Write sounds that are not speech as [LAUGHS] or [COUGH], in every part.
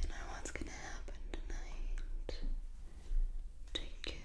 You know what's going to happen tonight to you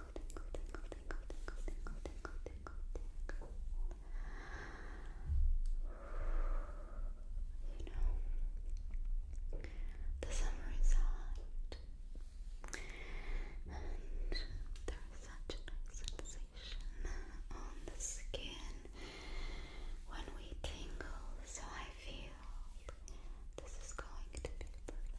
tingle, You know, the summer is hot, and there is such a nice sensation on the skin when we tingle. So I feel this is going to be perfect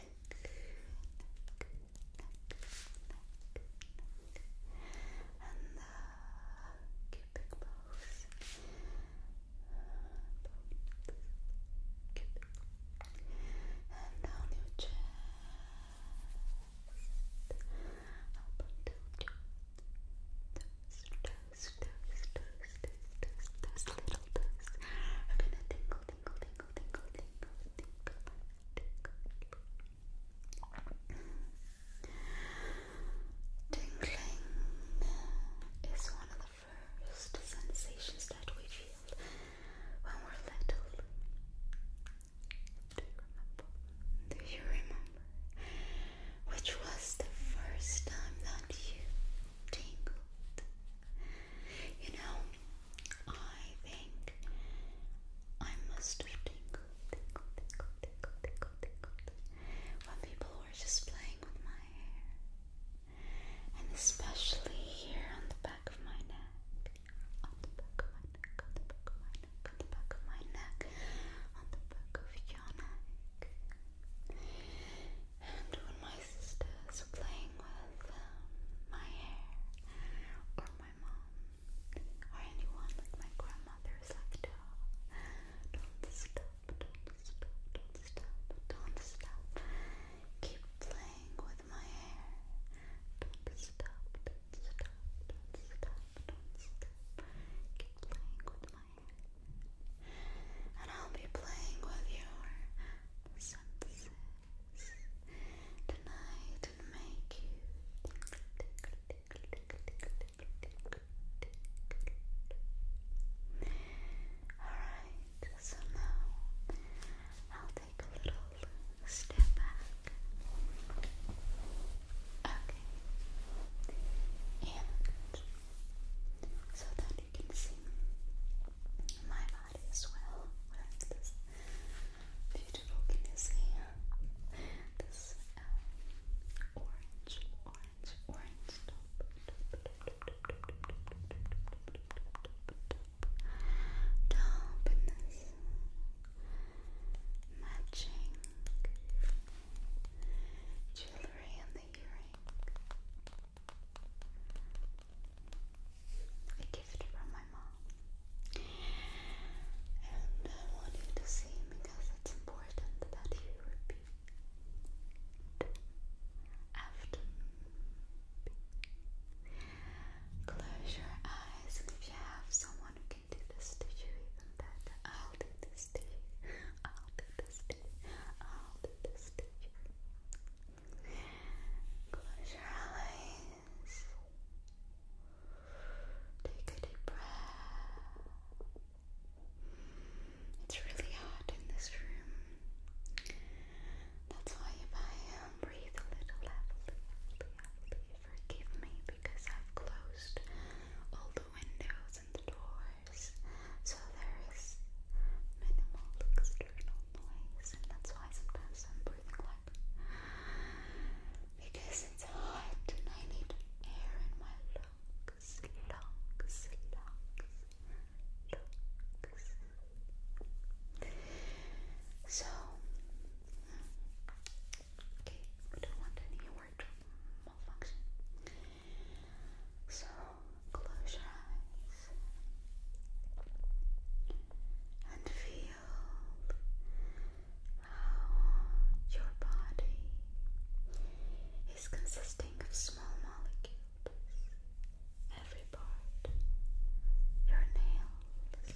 neck, neck, and the cubic bones. toes, toes, toes, toes, toes, toes, little toes are gonna tingle, tingle, tingle, tingle, tingle, tingle, Tingling is one of the first sensations that we feel when we're little. Do you remember? Do you remember? Which was the first time that you tingled? You know, I think I must have tingled, tingled, tingled, tingled, tingled, tingled when people were just playing with my hair. And especially here on the back of my neck. On the back of my neck, on the back of my neck, on the back of your neck. And when my my sisters playing with um, my hair, or my mom, or anyone my grandmother is like, don't stop, don't stop, don't stop, don't stop. Keep playing with my hair. Don't stop, don't stop, don't stop, don't stop. Keep playing with my hair. And I'll be playing with your senses tonight and make you Alright, so now I'll take a little step back. Okay. And so that and you can see my body as well. What is this beautiful? Can this um, orange, orange, orange top, top, top, this matching jewelry and the earring? a gift from my mom. And I want to see because it's important that you repeat after Close your eyes, and if you have someone who can do this to you, even better. I'll do this to you. I'll do this to you. I'll do this to you. Close your eyes. Take a deep breath. It's really hot in this room. That's why if I um, breathe a little heavily, forgive me because I've closed all the windows and the doors so there is minimal external noise, and that's why sometimes I'm breathing like because it's hot and I need air in my lungs, lungs, lungs, lungs. So, okay, we don't want any word malfunction. So, close your eyes and feel how your body is consisting of small molecules. Every part, your nails.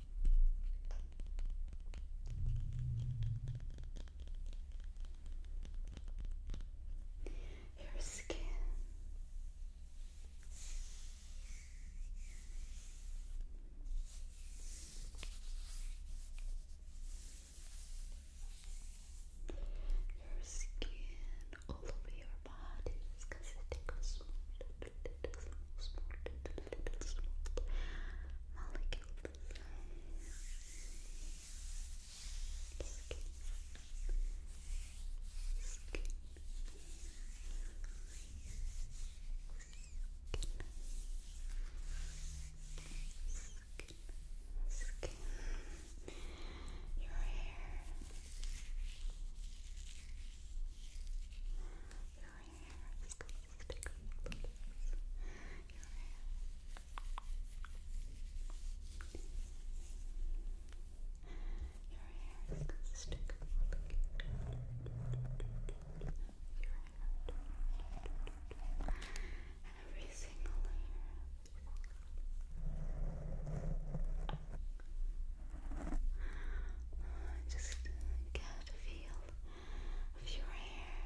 your skin. Your skin all over your body because it tickles smooth, tickles smooth, tickles smooth, tickles smooth molecules. Skin. Skin. Skin. Skin. Your hair your hair is going your hair. Your hair is going your hair. Every single layer. Just get a feel of your hair.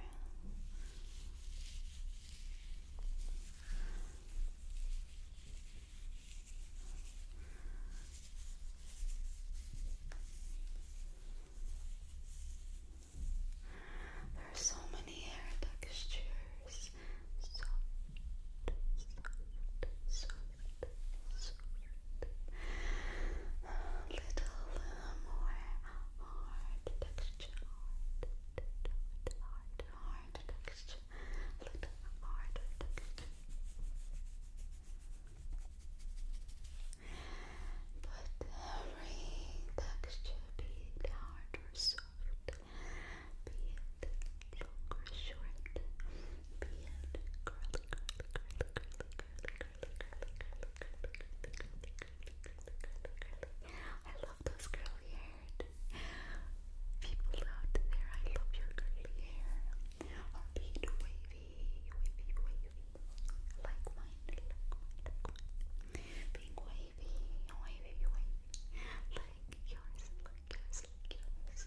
so many hair textures. Soft, soft, soft a little more hard texture, hard, hard, texture, little hard texture. But every texture, be it hard or soft, be it long or short, be it curly, curly, curly, curly, curly, I love those curly haired people out there. I love your curly hair. Or be wavy, wavy, wavy. like mine. Being wavy, wavy, wavy. Like yours, like yours, like yours.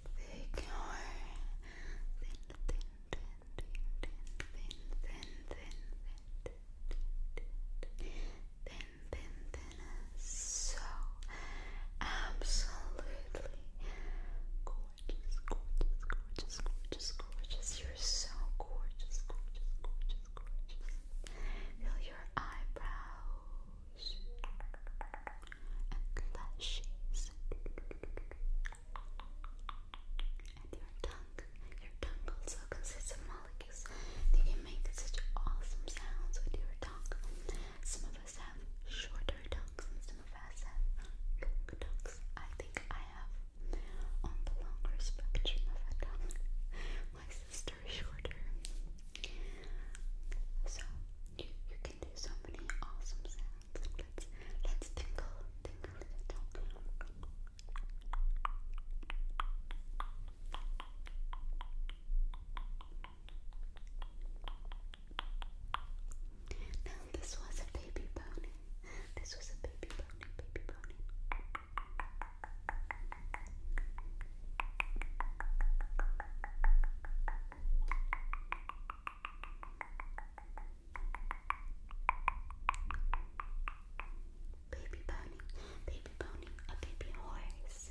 thick or thin, thin, thin, thin, thin, thin, thin, thin, thin, thin, thin, thin, so absolutely gorgeous, gorgeous, gorgeous, gorgeous, gorgeous. You're so gorgeous, gorgeous, gorgeous, gorgeous. Feel your eyebrows and lashes and your tongue. Your tongue also consists of molecules. You can make such awesome sounds with your tongue. Some of us have shorter tongues and some of us have long tongues. I think I have on the longer spectrum of a tongue. My sister shorter. So you, can do so many awesome sounds. Let's let's tingle, tingle it. Now this was a baby pony. This was a baby pony, baby pony. Baby pony, baby pony, a baby horse.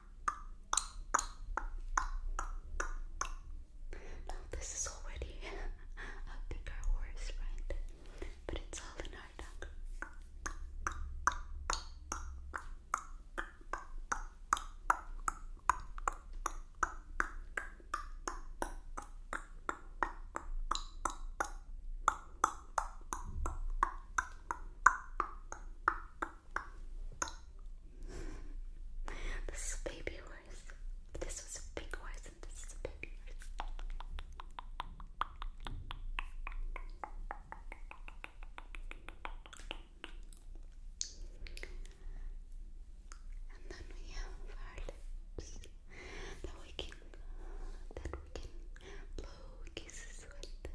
this is already [LAUGHS] a bigger horse, right? But it's all this is a baby horse. This was a big horse, and this is a baby horse. And then we have our lips that we can that we can blow kisses with.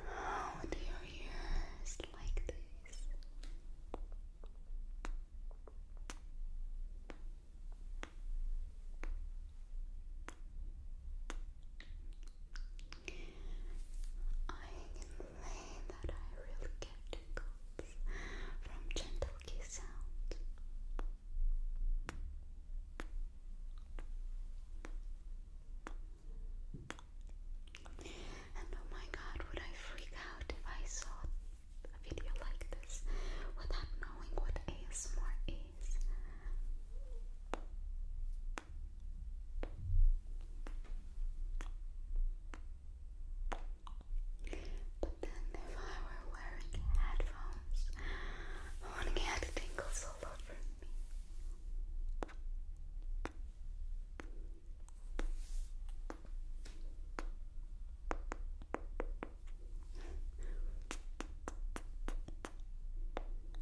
Oh, do your ears like this? I convey that I really get tingles from gentle kiss sounds. And oh my god, would I freak out if I saw a video like this without knowing what ASMR face. But then, if I were wearing headphones, I wouldn't get tingles all over me.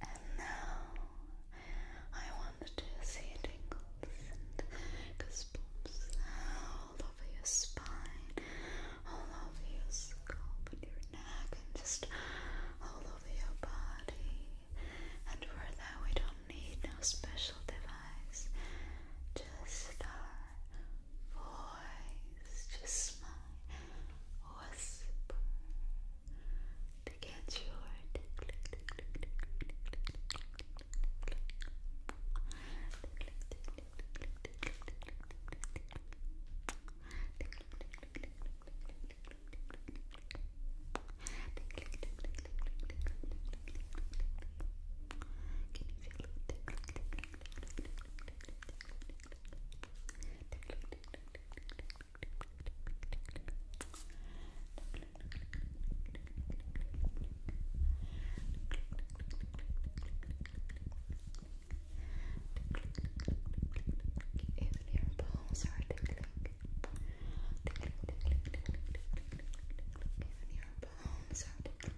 And now I want to see tingles and goosebumps all over your spine, all over your scalp and your neck, and just all over your body. And for that, we don't need no special device, just our voice, just my whisper to get your you even your balls are tickling. Even your balls are tickling.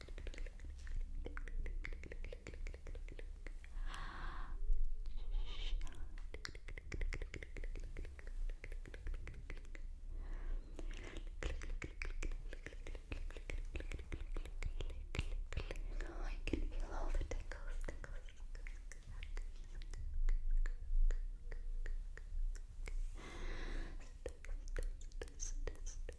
Oh, I can feel all the tickles, tickles, tickles.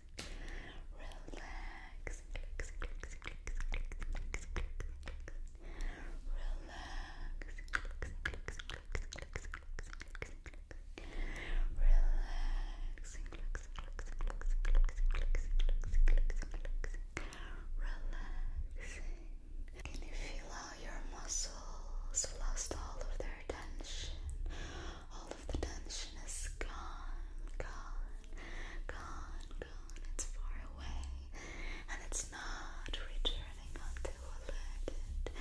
relax, relax, relax, relax, Can you feel how your muscles lost all of their tension? all of the tension is gone, gone, gone, gone. It's far away and it's not returning until alerted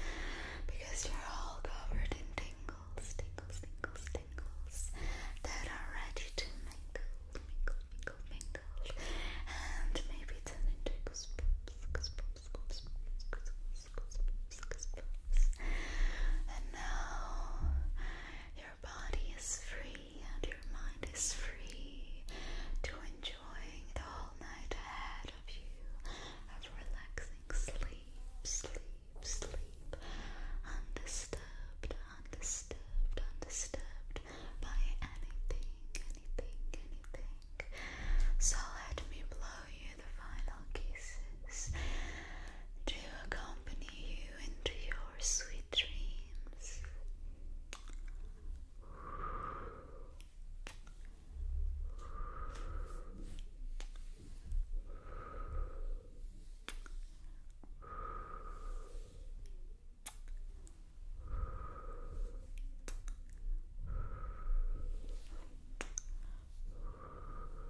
because you're all covered in tingles, tingles, tingles, tingles that are ready to mingle, mingle, mingle, mingle, and maybe turn into goosebumps, goosebumps, goosebumps, goosebumps, goosebumps, and now your body is free and your mind is free to enjoying the whole night ahead of you of relaxing sleep, sleep, sleep, undisturbed, undisturbed, undisturbed by anything, anything, anything. So let me blow you the final kisses to accompany you into your sweet dreams.